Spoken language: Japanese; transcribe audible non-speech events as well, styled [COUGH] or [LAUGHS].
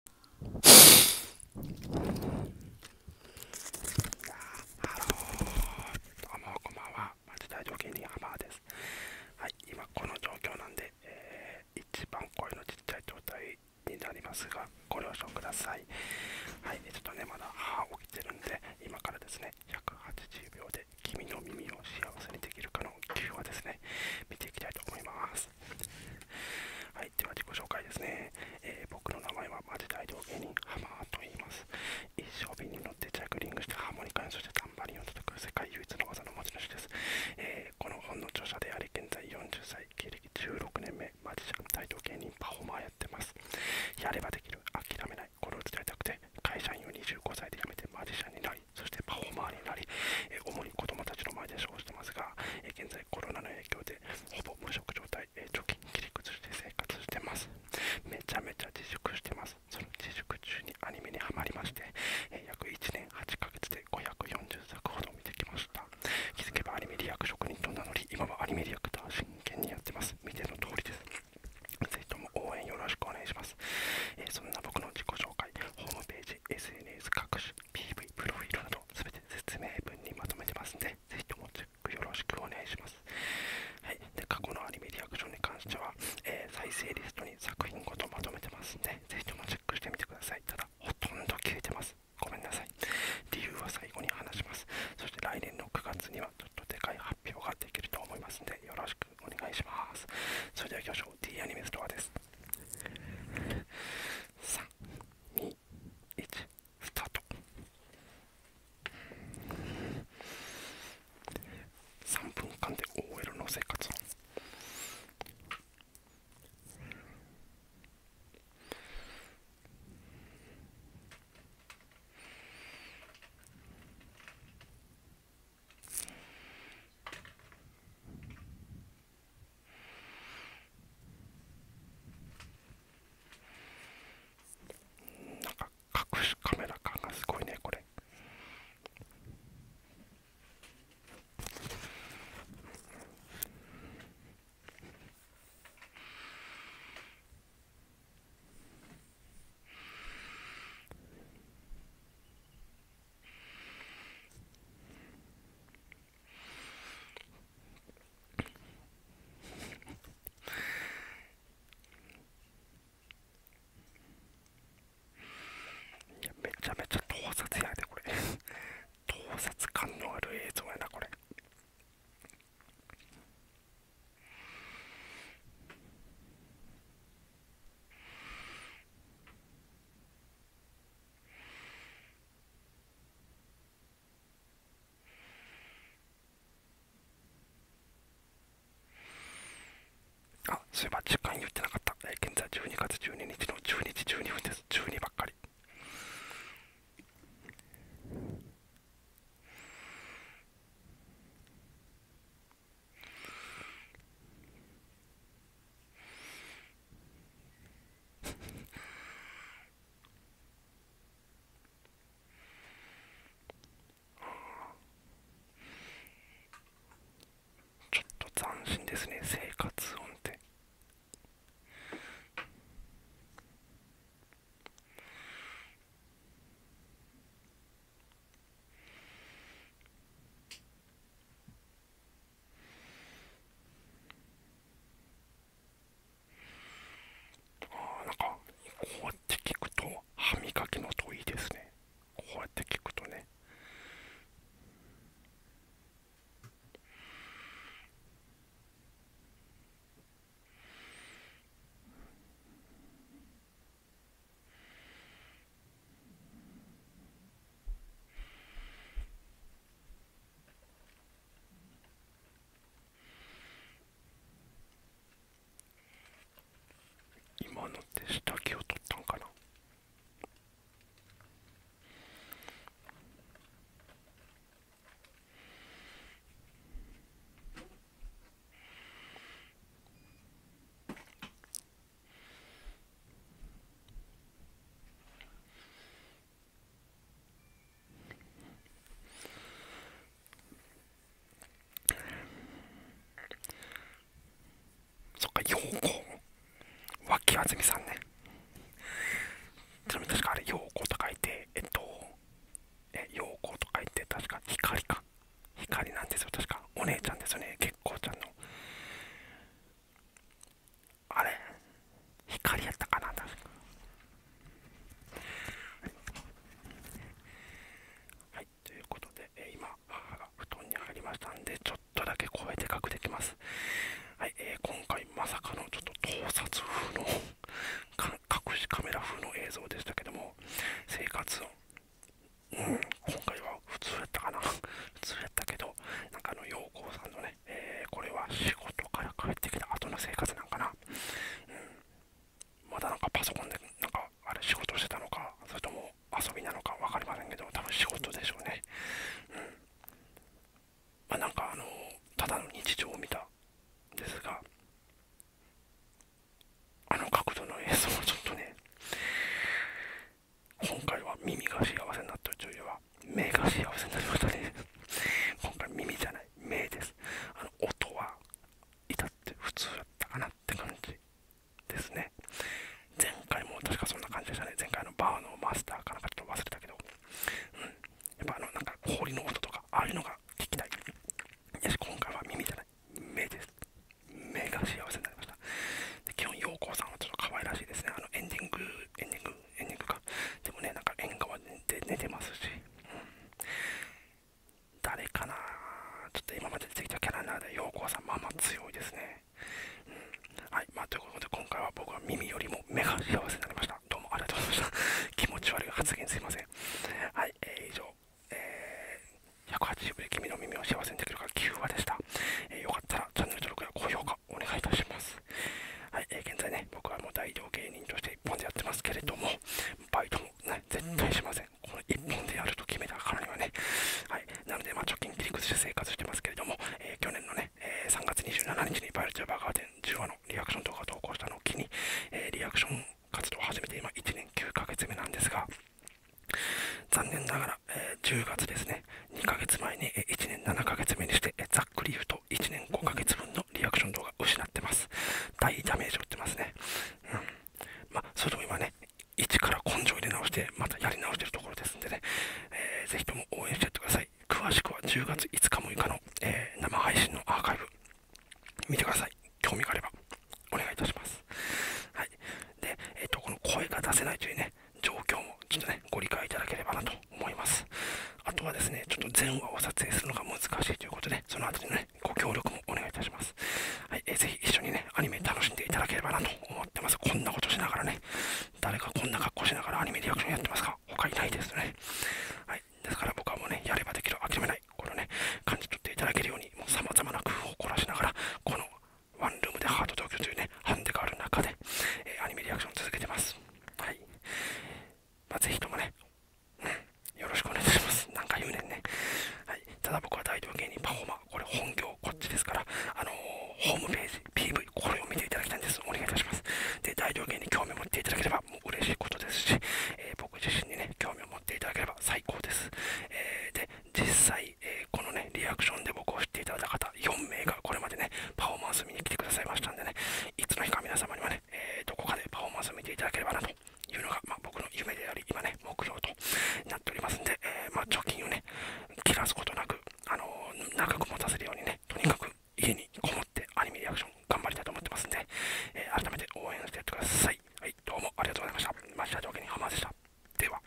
ハローどうもこんばんは町大条芸人ハマーですはい今この状況なんで、えー、一番声のちっちゃい状態になりますがご了承くださいはいちょっとねまだ歯起きてるんで今からですね180秒で君の耳を幸せにできるかの9話ですね見ていきたいと思いますでは自己紹介ですね。え僕の名前はマジ大道芸人ハマーと言います。一生瓶に乗ってジャグリングしてハーモニカにそしてタンバリンを叩く世界唯一の技の持ち主です。えこの本の著者であり、現在40歳、経歴16年目、マジシャン大道芸人パフォーマーやってます。やればできる、諦めない、これを伝えたくて、会社員を25歳で辞めてマジシャンになり、そしてパフォーマーになり、えー、主子供たちの前で生してますが、え現在コロナの影響でほぼ無職状態、え貯金切り崩して生活してますめちゃめちゃ自粛してますその自粛中にアニメにはまりまして、え約1年8ヶ月で540作ほど見てきました気づけばアニメリアク職人と名乗り今はアニメリアクター真剣にやってます見ての通りですぜひとも応援よろしくお願いします、えそんな僕の自己紹介ホームページ SNS 各種 PV プロフィールなどすて説明文にまとめてますんで、ぜひともチェックよろしくお願いします。はい、で過去のアニメリアクションに関しては、え再生リストに作品ごとまとめてますんで、ぜひともチェックしてみてください。ただ、ほとんど消えてます。ごめんなさい。理由は最後に話します。そして来年の9月にはちょっとでかい発表ができると思いますんで、よろしくお願いします。それでは行きましょう。t アニメストアです。321スタート3分間で OL の生活なんか隠しカメラ感がすごいねこれいやめちゃめちゃ盗撮やでこれ盗撮感のある映像やなこれあ、そういえば時間言ってなかった。えー、現在12月12日の12時12分です。12ばっかり。[LAUGHS] ちょっと斬新ですね生活音ってああ、なんかこうやって聞くと歯磨きの音いいですねこうやって聞くとねうん今の手下着を取ったんかなそっか、陽き脇安住さんね。ちなみに確かあれ、陽子と書いて、えっと、え、陽子と書いて、確か光か。光なんですよ、確か。お姉ちゃんですよね、結構ちゃんの。あれ光やったかな確かはいということで、え今母が布団に入りましたんでちょっとだけ声でかくできますはい、えー、今回まさかのちょっと盗撮風の隠しカメラ風の映像でしたけども生活音今回は普通やったかな普通やったけどなんかあの陽光さんのね、えこれは仕事から帰ってきた後の生活なんかな、うん、まだなんかパソコンでなんかあれ仕事してたのかそれとも遊びなのか分かりませんけど多分仕事でしょうねうんまなんかあのただの日常を見たんですがあの角度の映像はちょっとね今回は耳が幸せになったというよりは目が幸せになりま人です。今回耳じゃない目ですあの音は至って普通だったかなって感じですね前回も確かそんな感じでしたね前回のバーのマスターかなかちょっと忘れたけどうんやっぱあのなんか氷の音とかああいうのが聞きたいよし今回は耳じゃない目です目が幸せになりましたしたで基本陽光さんはちょっと可愛らしいですねあのエンディングエンディングエンディングかでもねなんか縁側で寝てますし、うん、誰かなちょっと今まで出てきたキャラなので陽光さんママ強いですね、うん、はいまということで今回は僕は耳よりも目が幸せになりましたどうもありがとうございました [LAUGHS] 気持ち悪い発言すいませんはい、え以上、え180秒で君の耳を幸せにできるか9話でした。えよかったらチャンネル登録や高評価お願いいたします。はい、え現在ね、僕はもう大道芸人として一本でやってますけれども、バイトもね、絶対しません。この一本でやると決めたからにはね、はい、なので、まあ、貯金切り崩して生活してますけれども、え去年のね、え3月27日にバイルトバーガーデン10話のリアクション動画を投稿したのを機に、えリアクション活動を始めて今1年9ヶ月目なんですが、残念ながら、え10月ですね、2ヶ月前に1年7ヶ月目にして、ざっくり言うと1年5ヶ月分のリアクション動画失ってます。大ダメージを打ってますね。うん。まあ、それでも今ね、一から根性入れ直して、またやり直してるところですんでね、えー、ぜひとも応援してやってください。詳しくは10月5日6日の、え生配信のアーカイブ、見てください。興味があれば、お願いいたします。はい。で、えっ、と、この声が出せないというね、状況もちょっとね、ご理解いただければなと思います。あとはですね、ちょっと全話を撮影するのが難しいということで、その後にね、ご協力もお願いいたします。はいえー、ぜひ一緒にね、アニメ楽しんでいただければなと思ってます。こんなことしながらね、誰かこんな格好しながらアニメリアクションやってますか他いないですね。はい、ですから僕はもうね、やればできる、諦めない、これをね、感じ取っていただけるように、もう様々な工夫を凝らしながら、このワンルームでハート東京というね、ハンデがある中で、えアニメリアクションを続けてます。はい。まあ、ぜひともね、よろしくお願いします。なん言うねんね。はい。ただ僕は大道芸人パフォーマー、これ本業こっちですから、あのホームページ、PV、これを見ていただきたいんです。お願いいたします。で、大道芸に興味を持っていただければもう嬉しいことですし、え僕自身にね、興味を持っていただければ最高です。えで、実際、えこのね、リアクションで僕を知っていただいた方、4名がこれまでね、パフォーマンス見に来てくださいましたんでね、いつの日か皆様にはね、えどこかでパフォーマンスを見ていただければなというのが、ま僕の夢であり、今ね、目標となっておりますんで、えまあ、貯金をね、切らすことなく、あの長く持たせるようにね、とにかく家にこもってアニメリアクション頑張りたいと思ってますんで、え改めて応援してやってください。はい、どうもありがとうございました。マジで条件にハマでした。では。